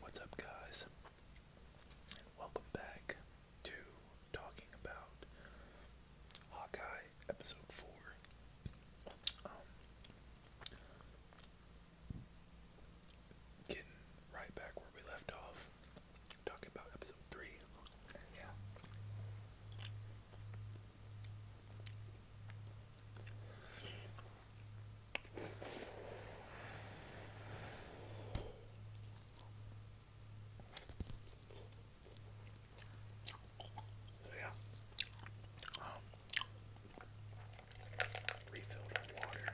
What's up, guys? Welcome back to talking about Hawkeye episode 4. Um, getting right back where we left off talking about episode three. Yeah. So yeah, um, refilled water.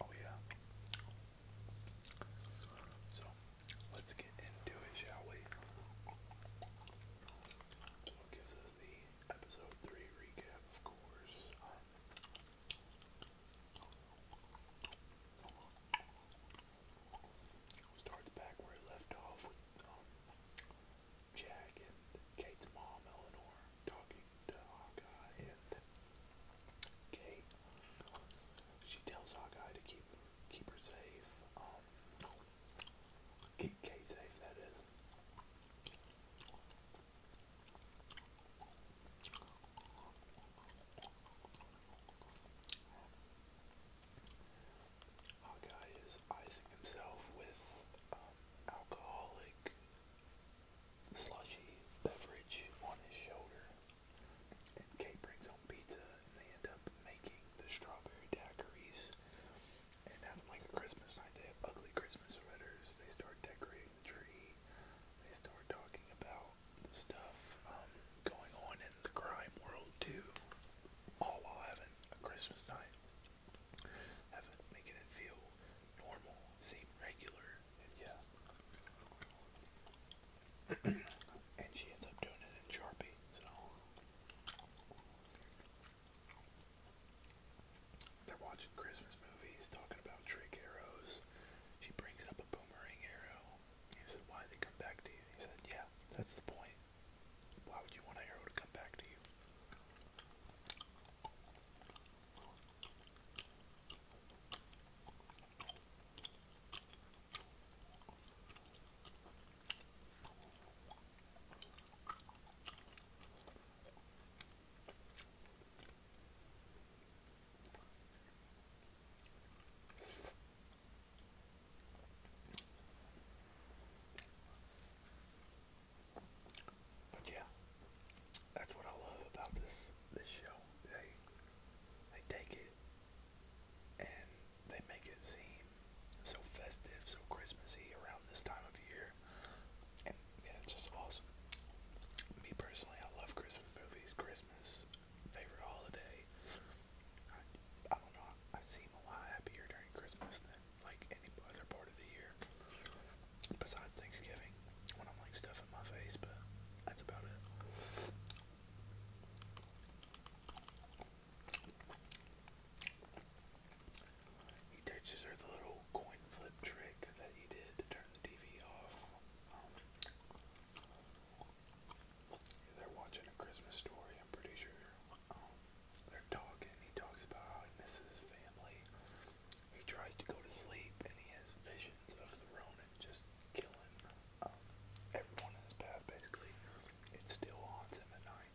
Oh, yeah. So let's get into it, shall we? So it gives us the episode 3 recap, of course. Starts back where it left off with um, Jack and Kate's mom, Eleanor, talking to Hawkeye, and Kate. She tells Hawkeye to keep keep her safe. Um, keep Kate safe, that is. Our guy is icing himself with um, alcoholic slushy beverage on his shoulder. And Kate brings home pizza, and they end up making the strawberry daiquiris and having like a Christmas night. They have ugly Christmas sweaters. They start decorating the tree. They start talking about the stuff um, going on in the crime world too, all while having a Christmas night, having making it feel normal, seem regular, yeah. and she ends up doing it in Sharpie, so they're watching Christmas movies, talking about trick arrows, she brings up a boomerang arrow. He said, Why they come back to you? He said, Yeah, that's the point. Why would you want an arrow to come back to you? But yeah, that's what I love about this this show. They they take it and they make it seem so festive, so Christmassy around this time of year, yeah, it's just awesome. Me personally, I love Christmas movies. Christmas, favorite holiday. I, don't know. I seem a lot happier during Christmas than like any other part of the year. Besides Thanksgiving, when I'm like stuffing my face, but that's about it. He teaches her the little little coin flip trick that he did to turn the TV off. Um, they're watching a Christmas story, I'm pretty sure. Um, they're talking, he talks about how he misses his family. He tries to go to sleep and he has visions of the Ronin just killing um, everyone in his path, basically. It still haunts him at night.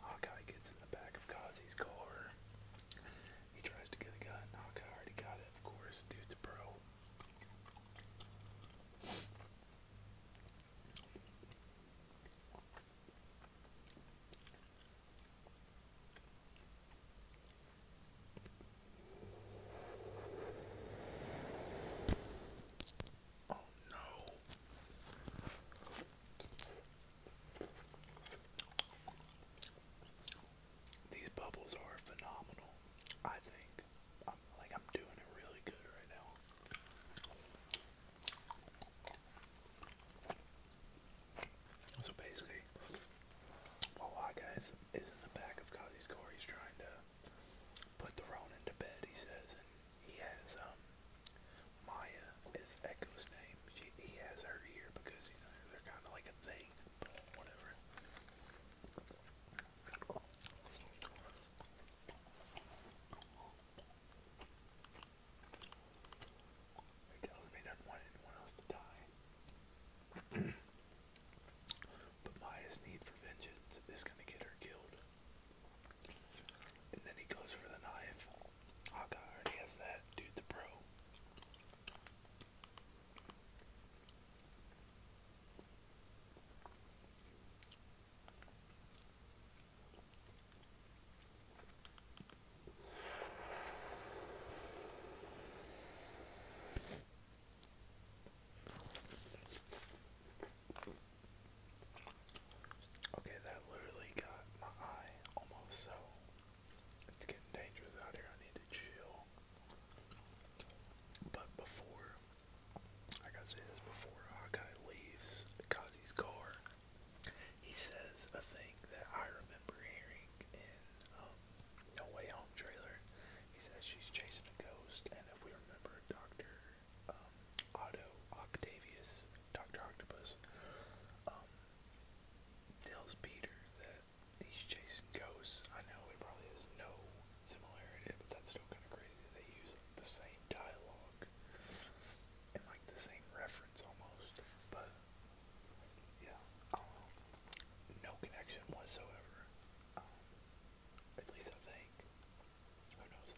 Hawkeye gets in the back of Kazi's car. He tries to get a gun. Hawkeye already got it, of course, dude's a pro. Oh no. These bubbles are phenomenal, I think. I'm like I'm doing it really good right now. So basically, while well, guys is in the back of Kazi's car, he's trying to put the Ronin to bed, he says, he has um, Maya is Echo's name. he has her here because you know they're kind of like a thing, whatever. He tells me doesn't want anyone else to die. but Maya's need for vengeance is gonna get her killed. And then he goes for the knife. Hawkeye already has that. Dude's a pro. Okay, that literally got my eye almost, so it's getting dangerous out here. I need to chill. But before, like I said this before, Hawkeye leaves Kazi's car. He says a thing that I remember hearing in um, No Way Home trailer. He says she's chasing a ghost, and if we remember, Doctor um, Octavius, Doctor Octopus, um, tells Peter that he's chasing ghosts. I know it probably has no similarity, but that's still kind of crazy. That they use the same dialogue and like the same reference almost, but yeah, um, No connection whatsoever. At least I think. Who knows?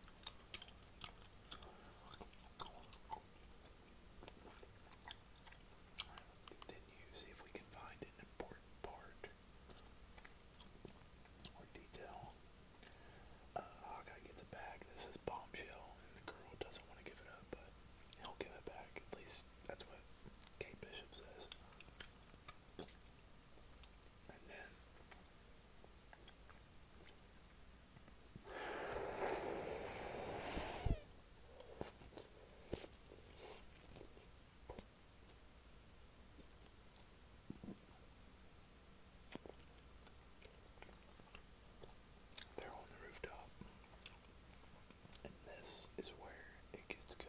continue. See if we can find an important part or detail. Uh, Hawkeye gets a bag that says bombshell, and the girl doesn't want to give it up, but he'll give it back. At least that's what Kate Bishop says. And they're on the rooftop, and this is where it gets good.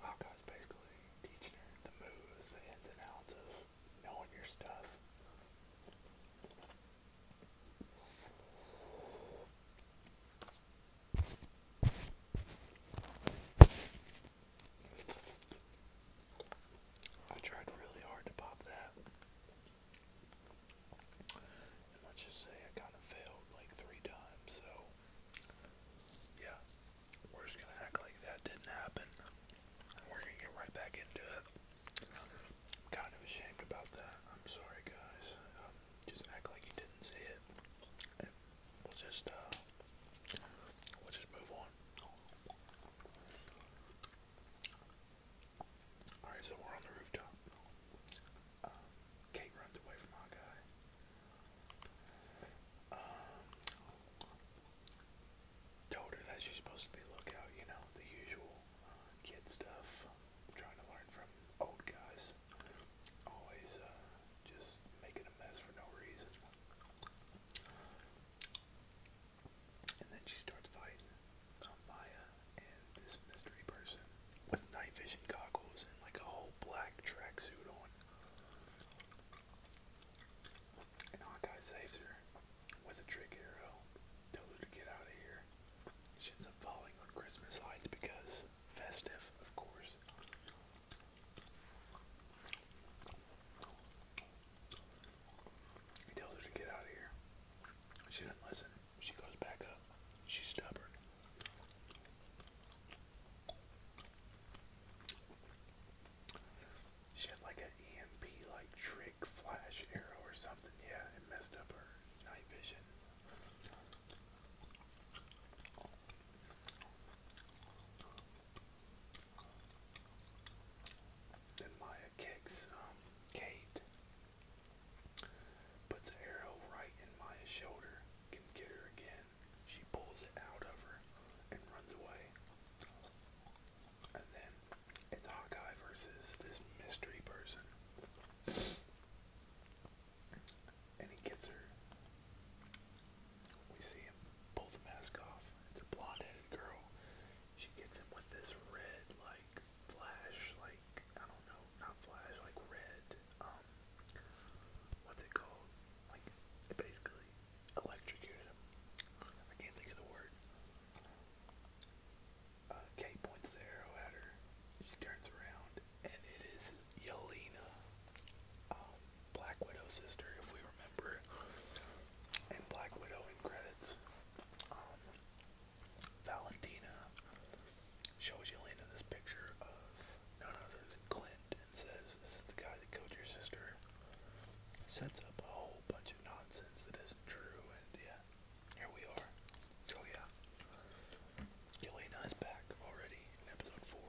Hawkeye's basically teaching her the moves, the ins and outs of knowing your stuff. I tried really hard to pop that let's just say I kind of failed like three times, so yeah, we're just gonna act like that didn't happen. we're gonna get right back into it. am kind of ashamed about that. I'm sorry, guys. Um, just act like you didn't see it. we'll just, uh, we'll just move on. Alright, so we're on the rooftop. Um, Kate runs away from our guy. Um, told her that she's supposed to be lookout, you know, the usual uh, kid stuff. Trying to learn from old guys. Always uh, just making a mess for no reason. And then she starts fighting. Maya and this mystery person with night vision goggles and like a whole black tracksuit on. And Hawkeye saves her with a trick arrow. Tell her to get out of here. She ends up falling on Christmas lights because festive, of course. He tells her to get out of here. She didn't listen. She goes back up. She's stubborn. She had like an EMP like trick flash arrow or something. Yeah, it messed up her night vision. Then Maya kicks um, Kate. Puts an arrow right in Maya's shoulder. Can get her again. She pulls it out of her and runs away. And then it's Hawkeye versus this mystery person. And he gets her. We see him pull the mask off. It's a blonde headed girl. She gets him with this red, like. Flash, like I don't know, not Flash, like Red. Um, what's it called? Like basically electrocuted I can't think of the word. Uh, points the at her. She turns around, and it is Yelena, um, Black Widow's sister, if we remember. And Black Widow in credits. Um, Valentina shows Yelena this picture of none other than Clint and says, This is the guy that killed your sister. Sets up a whole bunch of nonsense that isn't true, and yeah, here we are. Oh, yeah. Yelena back already in episode 4.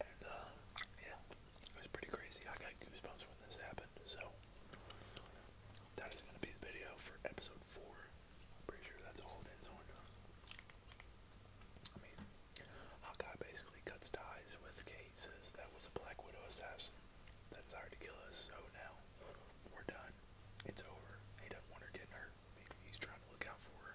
Uh, yeah, it was pretty crazy. I got goosebumps when this happened. So that is going to be the video for episode 4 pretty sure that's all ends on. I mean, Hawkeye basically cuts ties with Kate, says that was a Black Widow assassin that desired to kill us. So now we're done. It's over. He doesn't want her getting hurt. he's trying to look out for her.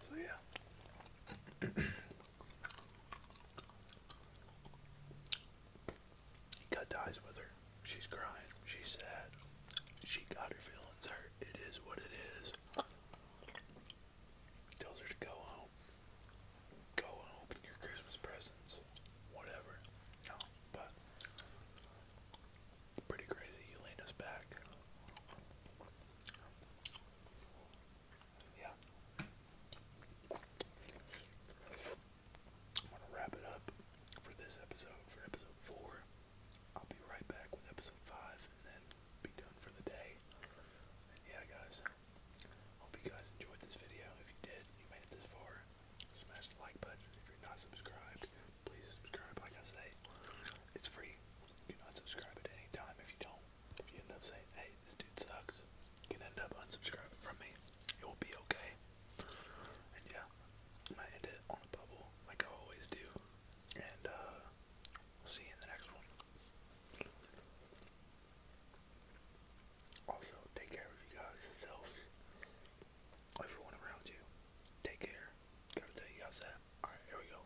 So yeah. he got with her. She's crying. She's sad. She got her feelings hurt. It is what it is. Tells her to go home go and open your Christmas presents, whatever. No, but pretty crazy. You back. Yeah. I'm gonna wrap it up for this episode, for episode four. I'll be right back with episode five and then be done for the day. yeah, guys, Hope you guys enjoyed this video. If you did, you made it this far, smash the like button. If you're not subscribed, please subscribe. Like I say, it's free. You can unsubscribe at any time if you don't. If you end up saying, hey, this dude sucks, you can end up unsubscribing from me. you will be okay. And yeah, i end it on a bubble like I always do. And uh, see you in the next one. Also, take care of you guys yourselves. Everyone around you. Take care. Gotta tell you guys that. Alright, here we go.